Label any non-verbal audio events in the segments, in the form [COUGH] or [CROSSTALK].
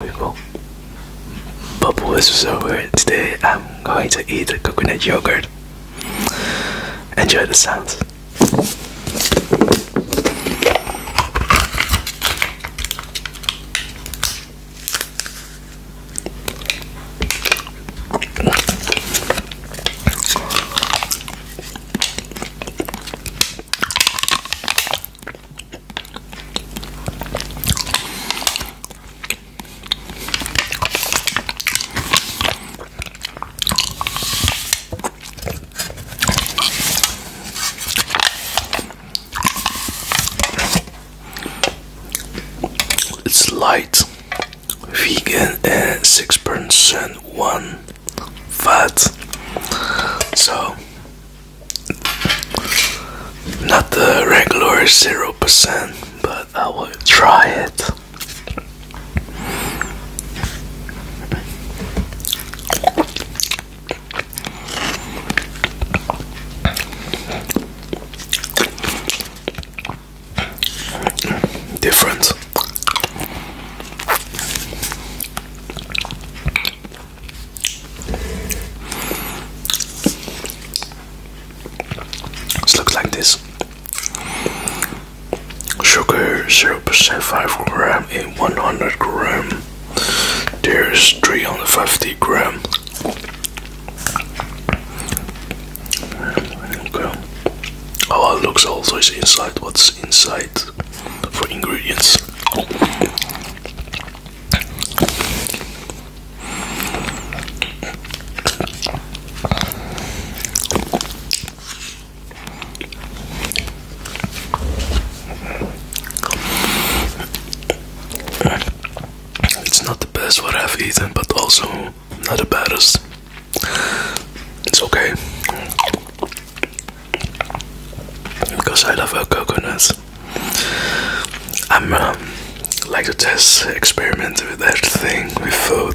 we go. But so weird. Today I'm going to eat coconut yogurt. Enjoy the sounds. It's light, vegan, and six percent one fat. So not the regular 0%, but I will try it. Different. This looks like this. Sugar 0% 5 gram in 100 gram. There's 350 gram. Okay. Oh, it looks also is inside. What's inside? for ingredients. It's not the best what I've eaten, but also not the baddest. It's okay because I love uh, coconuts. I'm um, like to test experiment with that thing with food.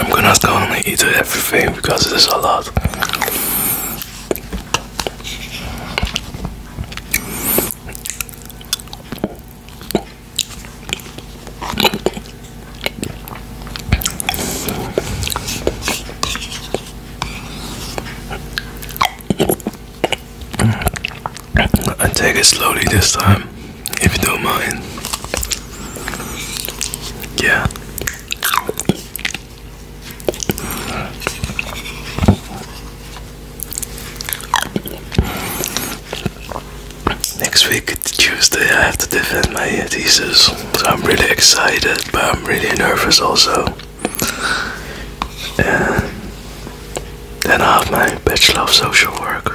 I'm gonna gonna eat everything because it's a lot. I take it slowly this time, if you don't mind. Yeah. Next week, Tuesday, I have to defend my thesis, so I'm really excited, but I'm really nervous also. And then I have my Bachelor of Social Work.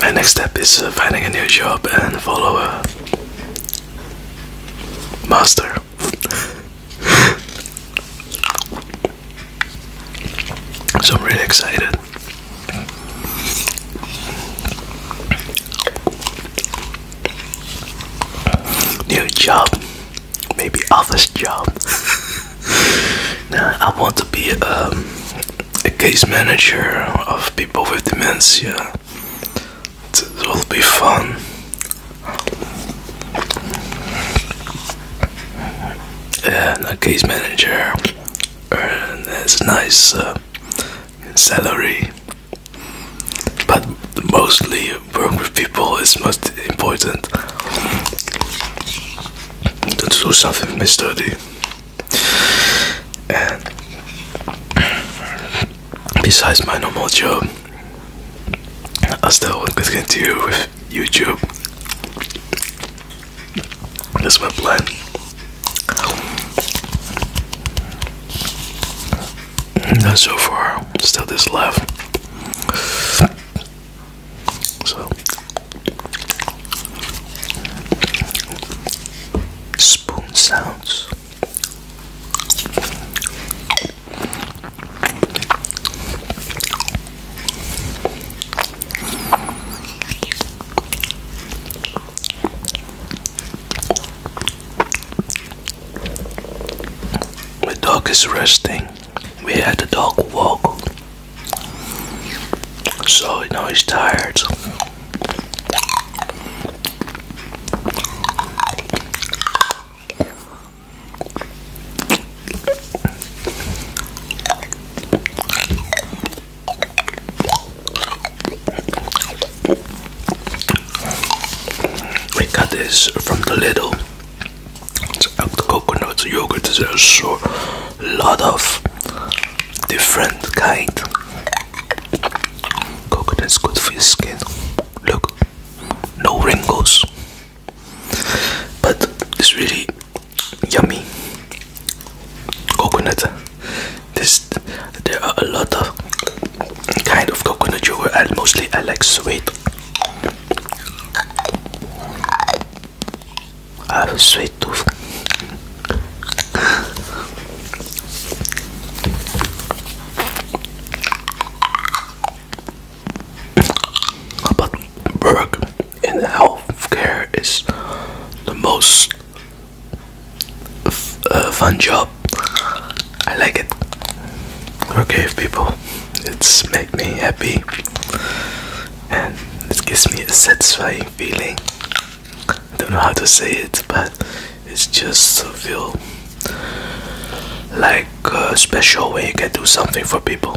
My next step is uh, finding a new job and follow a master. [LAUGHS] so I'm really excited. New job, maybe office job. [LAUGHS] nah, I want to be um, a case manager of people with dementia. It will be fun. Yeah, a case manager, uh, and it's nice. Uh, salary. But mostly work with people is most important. To do something mystery. And besides my normal job, I still want to continue with YouTube. That's my blood. Not so far. Still this left. So spoon sounds. The dog is resting. We had the dog walk. So now he's tired. We got this from the little coconut yogurt. is There's a lot of different kind. Coconut's good for your skin. Look, no wrinkles. But it's really yummy coconut. there are a lot of kind of coconut yogurt and mostly I like sweet. I have a sweet tooth. How about burger? in healthcare is the most uh, fun job. I like it. Okay, people, it's make me happy, and it gives me a satisfying feeling. I don't know how to say it, but it's just to feel like uh, special when you can do something for people.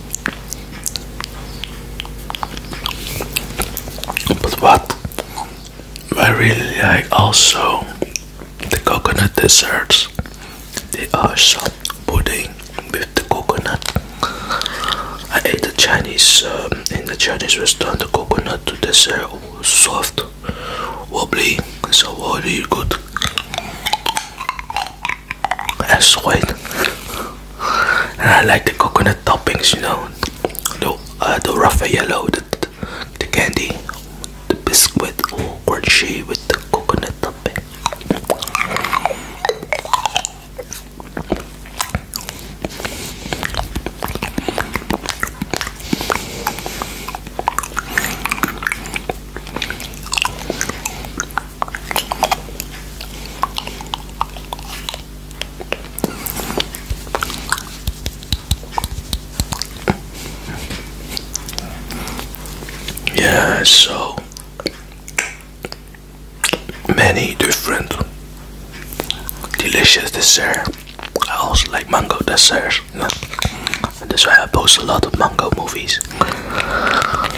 But what I really like also the coconut desserts. They are some pudding with the coconut. I ate the Chinese um, in the Chinese restaurant. The coconut dessert was soft, wobbly, so really good and sweet. And I like the coconut toppings, you know, the uh, the Raffaello, the, candy, the biscuit, or crunchy with the coconut topping. Yeah, so many different delicious dessert. I also like mango desserts. That's why I post a lot of mango movies.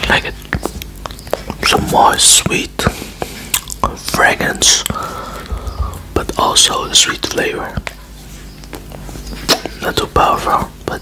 Like some more sweet fragrance, but also the sweet flavor. Not too powerful, but.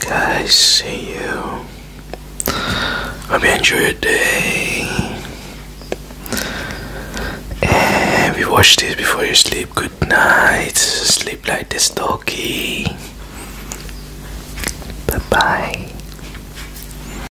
Guys, see you. Hope you enjoy your day. And if watch this before you sleep, good night. Sleep like this doggy. Bye bye.